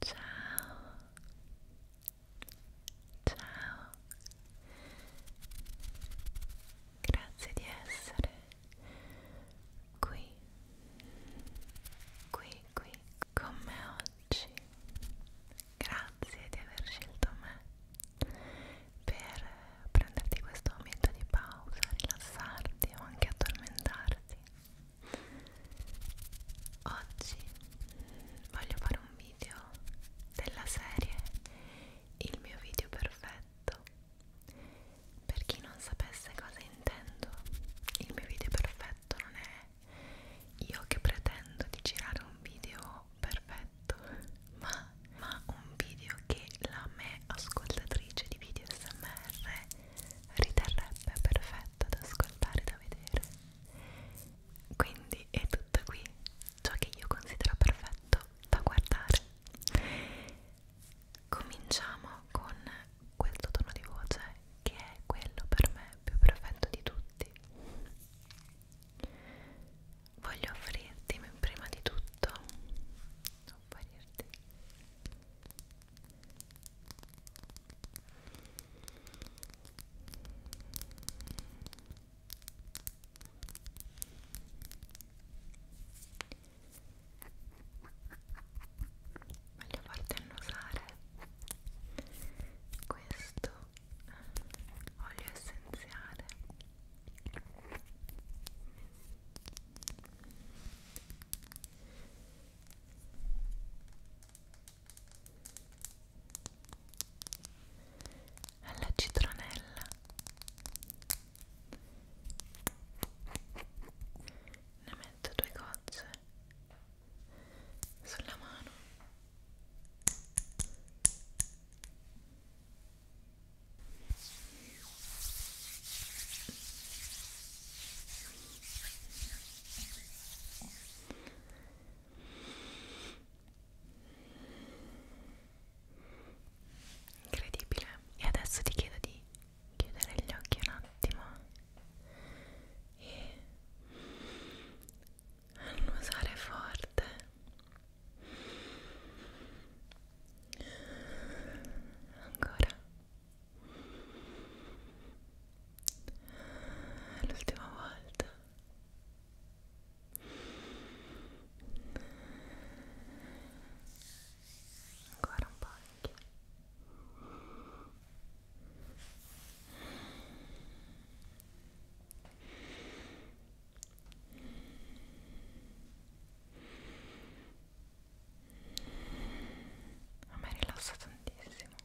Ciao. Ciao. Grazie di essere qui. Qui, qui con me oggi. Grazie di aver scelto me per prenderti questo momento di pausa, rilassarti o anche addormentarti. Oggi voglio fare un video della serie Il mio video perfetto. Per chi non sapesse cosa intendo, il mio video perfetto non è io che pretendo di girare un video perfetto ma, ma un video che la me ascoltatrice di video smr riterrebbe perfetto da ascoltare da vedere quindi è tutto qui ciò che io considero perfetto da guardare cominciamo con questo tono di voce che è quello per me più perfetto di tutti voglio offrirti prima di tutto offrirti voglio farti annusare questo olio essenziale alla citronella ne metto due gocce sulla mano Incredibile. E adesso ti chiedo di chiudere gli occhi un attimo e annusare forte ancora l'ultima volta ancora un po' anche a me rilassa tantissimo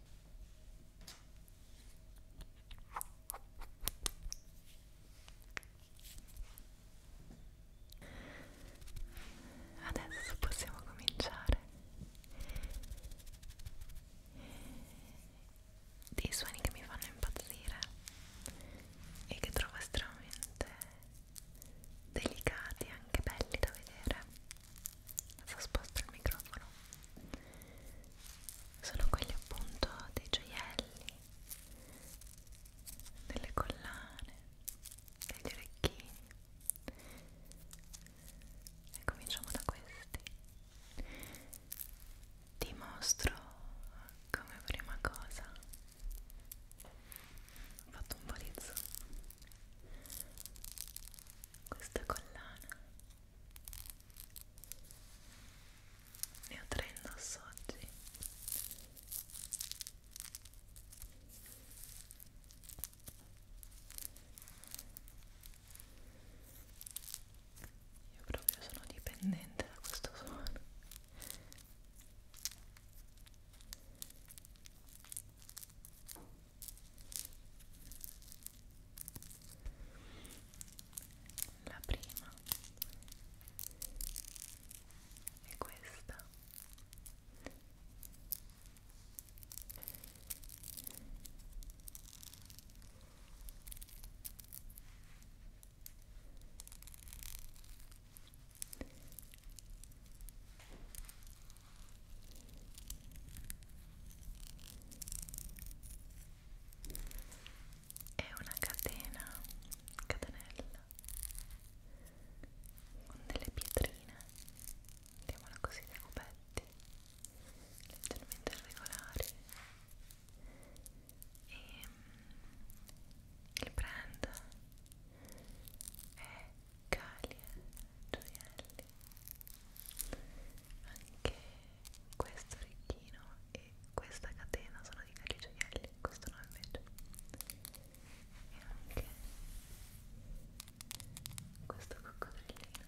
adesso possiamo cominciare dei suoni che mi fanno impazzire e che trovo estremamente delicati e anche belli da vedere adesso sposto il microfono sono quelli appunto dei gioielli delle collane degli orecchini e cominciamo da questi ti mostro come prima cosa ho fatto un po' di zoom questa collana ne ho tre indosso oggi io proprio sono dipendente da questo suono. La prima è questa. È una catena, catenella con delle pietrine, mettiamola così dei cubetti leggermente irregolari e mm, il brand è Calia Gioielli anche questo orecchino e questa catena sono di Calia Gioielli questo no invece e anche questo coccodrillino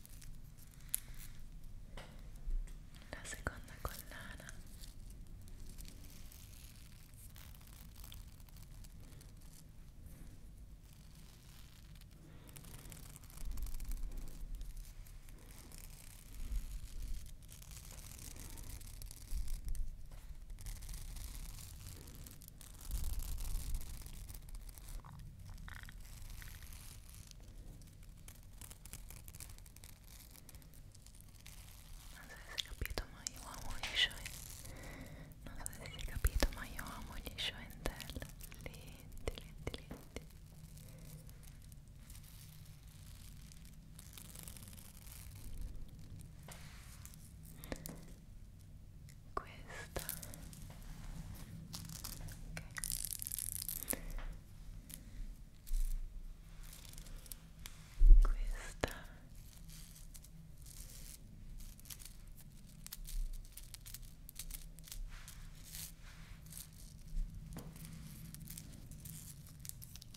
la seconda collana non so se si è capito ma io amo gli Shoen non so se si è capito ma io amo gli Shoen del lenti lenti lenti questa ok questa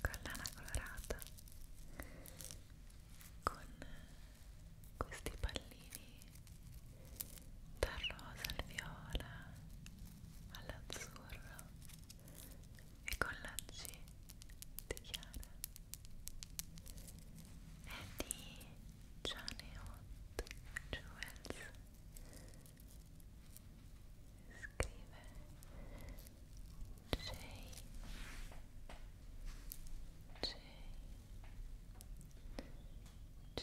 collana colorata con questi pallini dal rosa al viola all'azzurro e con la C di Chiara e di Janeot Jewels scrive J J J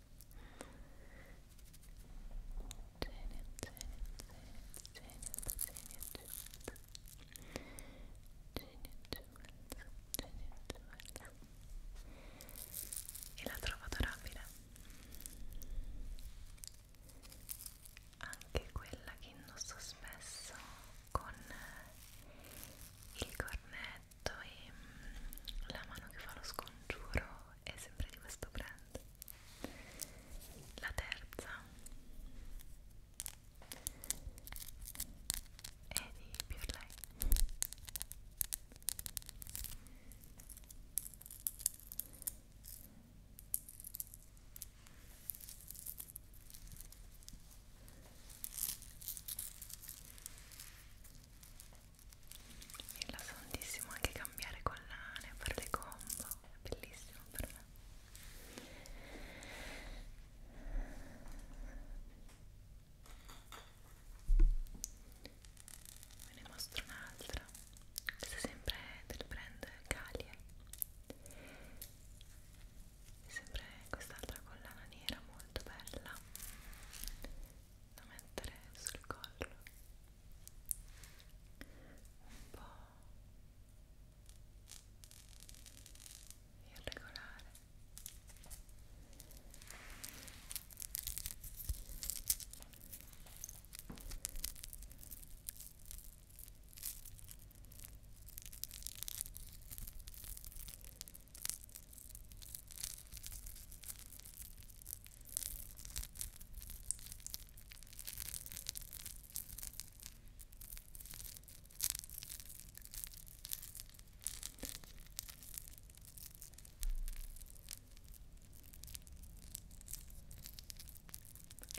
e l'ho trovato rapida anche quella che indosso spesso con il cornetto letto e mm, la mano che fa lo scongiuro è sempre di questo brand la terza è di Pure Lay è rilassantissimo anche cambiare collane, fare le combo, è bellissimo per me ve ne mostro un'altra questa è sempre del brand Calie è sempre quest'altra collana nera molto bella da mettere sul collo un po' irregolare e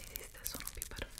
Esiste il suono più perfetto?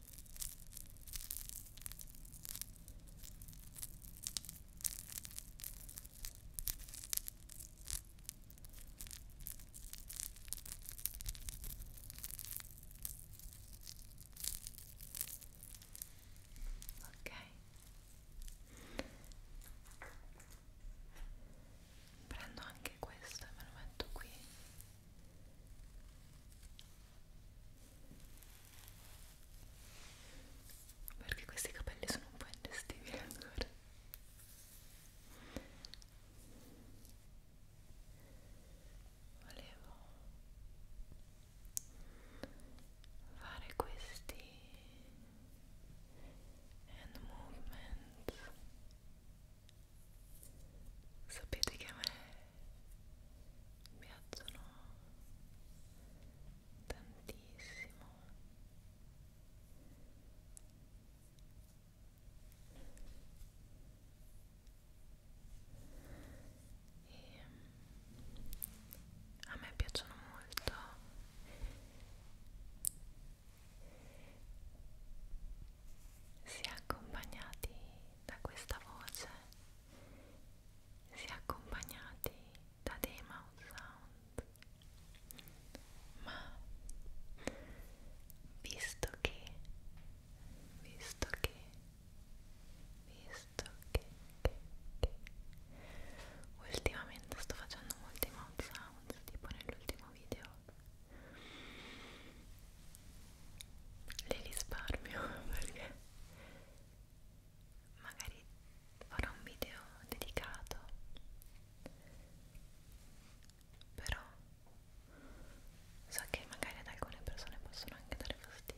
Ok, prendo anche questo e me lo metto qui perché questi capelli sono un po' ingestivi ancora volevo fare questi hand movement sapete che a me mi piacciono tantissimo e a me piacciono molto si è accompagnati da questa voce si accompagnati da dei mouth sound ma visto che visto che visto che, che, che ultimamente sto facendo molti mouth sound tipo nell'ultimo video le risparmio perché magari farò un video dedicato però so che magari ad alcune persone possono anche dare fastidio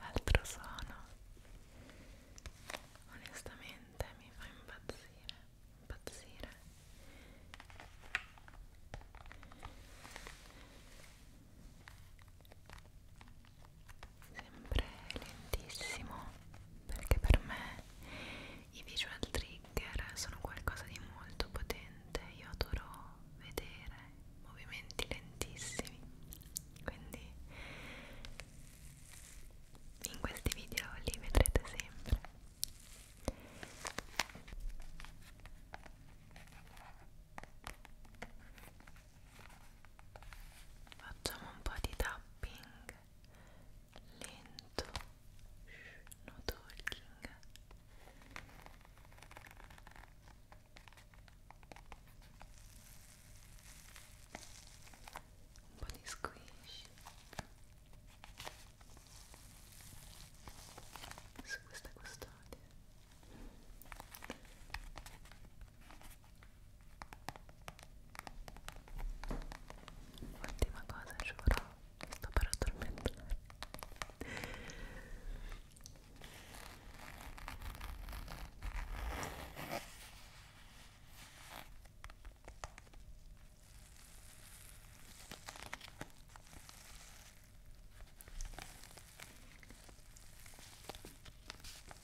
Altro suono, onestamente mi fa impazzire, impazzire sempre lentissimo perché per me i visual trigger sono qualcosa di molto potente io adoro vedere movimenti lentissimi quindi in questi video li vedrete sempre facciamo un po' di tapping lento Shh, no talking un po' di squish su questa custodia Ultima cosa, giuro, sto per addormentare.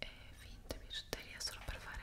e finte bigiotteria solo per fare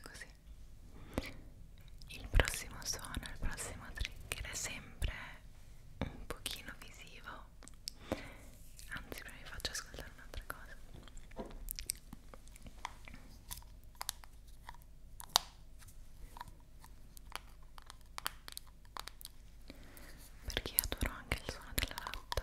Così il prossimo suono, il prossimo trigger è sempre un pochino visivo po'. Anzi, prima vi faccio ascoltare un'altra cosa. Perché adoro anche il suono della latta.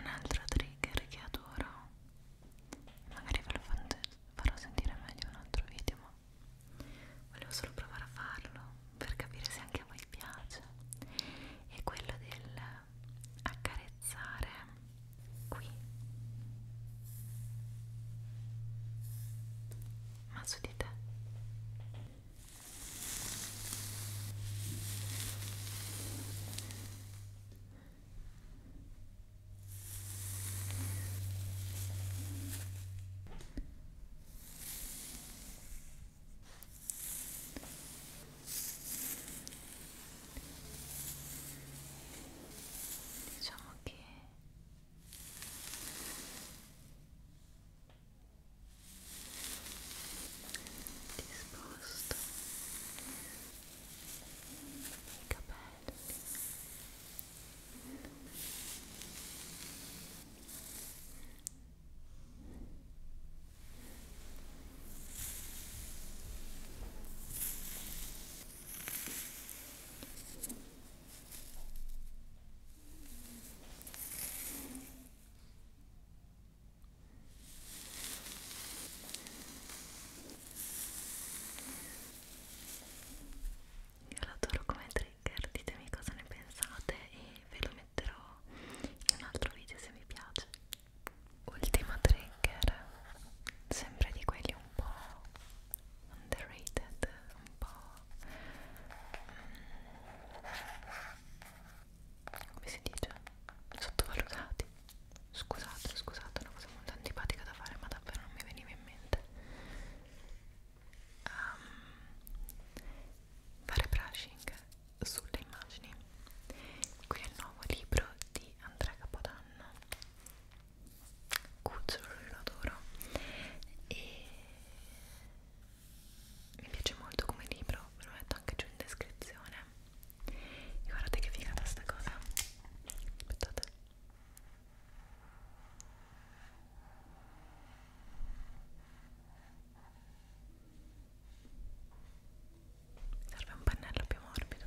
Un altro trigger che adoro, magari ve lo farò sentire meglio in un altro video, ma volevo solo provare a farlo per capire se anche a voi piace è quello del accarezzare qui ma su di te diciamo che ti sposto i capelli io l'adoro come trigger, ditemi cosa ne pensate e ve lo metterò in un altro video se vi piace ultima trigger sempre di quelli un po' underrated un po' mm, come si dice sottovalutati scusate scusate è una cosa molto antipatica da fare ma davvero non mi veniva in mente um, fare brushing sulle immagini qui è il nuovo libro di Andrea Capodanno cucciolo lo adoro e mi piace molto come libro ve lo metto anche giù in descrizione e guardate che figata sta cosa aspettate Serve un pennello più morbido.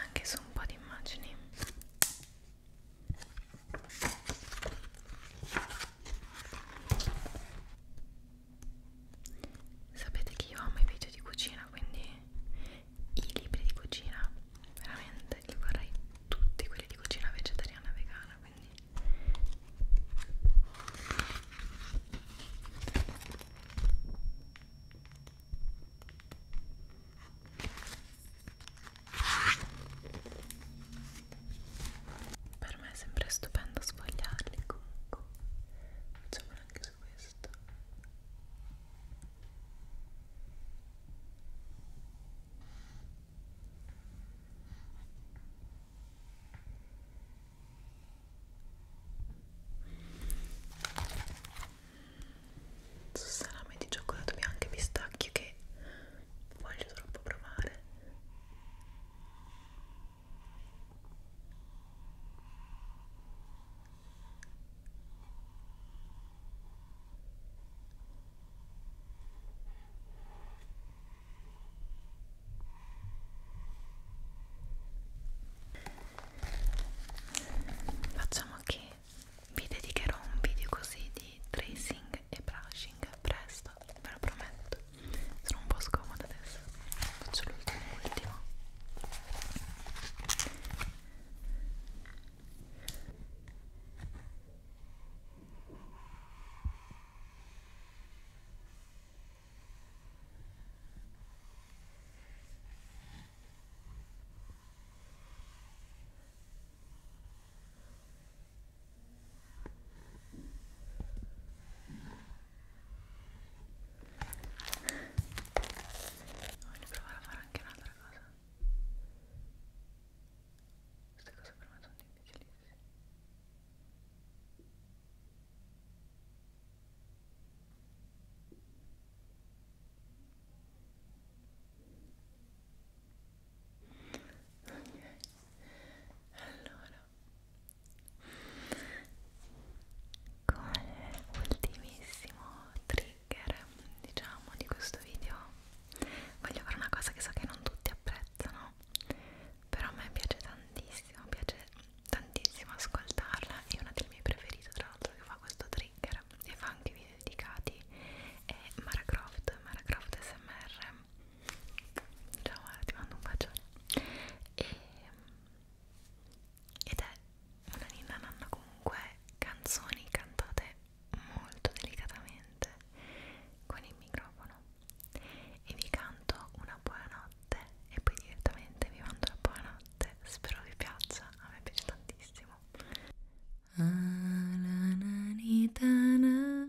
anche su un po' di immagini Sapete che io amo i video di cucina, quindi i libri di cucina veramente li vorrei tutti quelli di cucina vegetariana e vegana, quindi per me è sempre stupendo sfogliarli comunque facciamolo anche su questo su salame di cioccolato bianco e pistacchio che voglio troppo provare Facciamo che vi dedicherò un video così di tracing e brushing presto, ve lo prometto sono un po' scomoda adesso faccio l'ultimo ultimo Voglio provare a fare anche un'altra cosa. Queste cose per me sono difficilissime. Ok, allora come ultimissimo trigger diciamo di questo video voglio fare una cosa che so che non tutti apprezzano però a me piace tantissimo piace tantissimo ascoltarla è una delle mie preferite tra l'altro che fa questo trigger e fa anche video dedicati è Mara Croft Mara Croft SMR ciao Ale, ti mando un bacione e, ed è una ninna nanna comunque canzoni cantate molto delicatamente con il microfono e vi canto una buonanotte e poi direttamente vi mando la buonanotte spero vi piaccia, a me piace tantissimo Ananitana ah,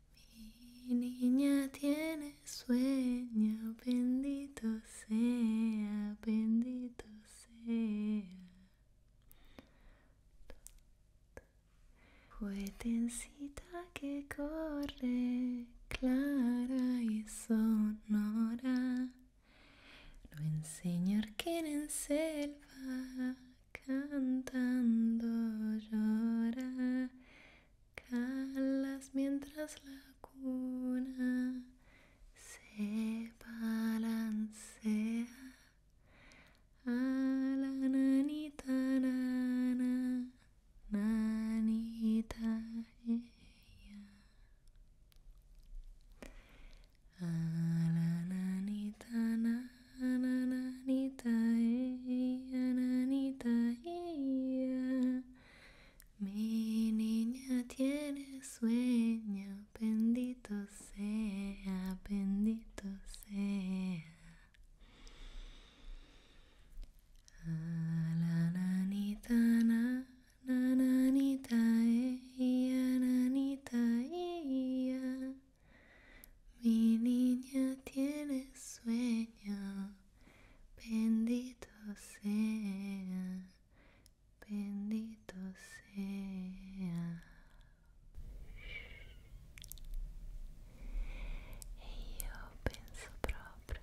Mi niña tiene sueño, bendito sea, bendito sea. Juetencita que corre, clara y sonora. Lo enseña quien en selva cantando llora calas mientras la cuna se balancea a la nanita nana nanita ella a la nanita nana nanita ella nanita mi niña tiene sueño, bendito sea, bendito sea. la nanita, la nanita, ella, nanita, ella. Mi niña tiene sueño, bendito sea, bendito sea. Y yo penso propio,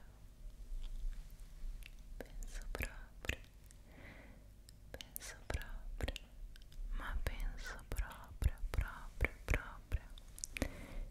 penso propio, penso propio, ma pienso proprio, proprio, proprio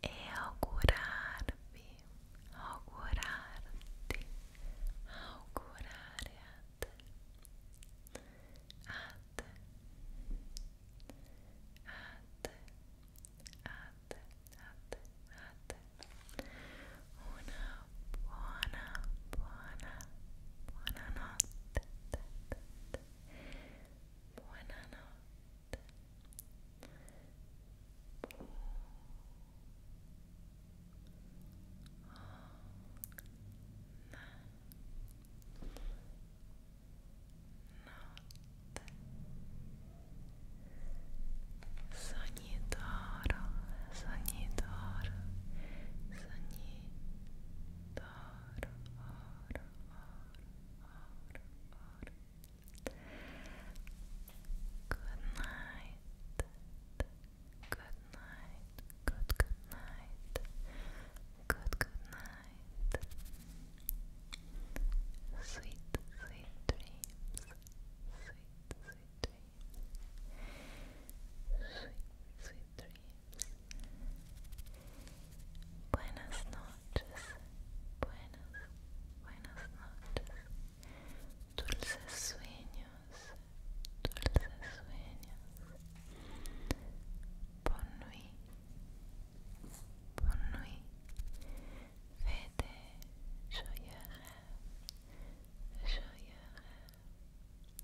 e augurarvi, augurarti, augurare a te, a te, a te, una buona, buona buonanotte buonanotte Bu Notte Sogni d'oro, sogni d'oro, sogni ar, Good night. Good night. Good good night. Good good night. Sweet sweet dreams. Sweet sweet dreams. Sweet sweet dreams dreams. Buenas noches, buenas, buenas noches. Dulces sueños, dulces sueños. Bonne nuit, bonne nuit. Faites joyeux rêves,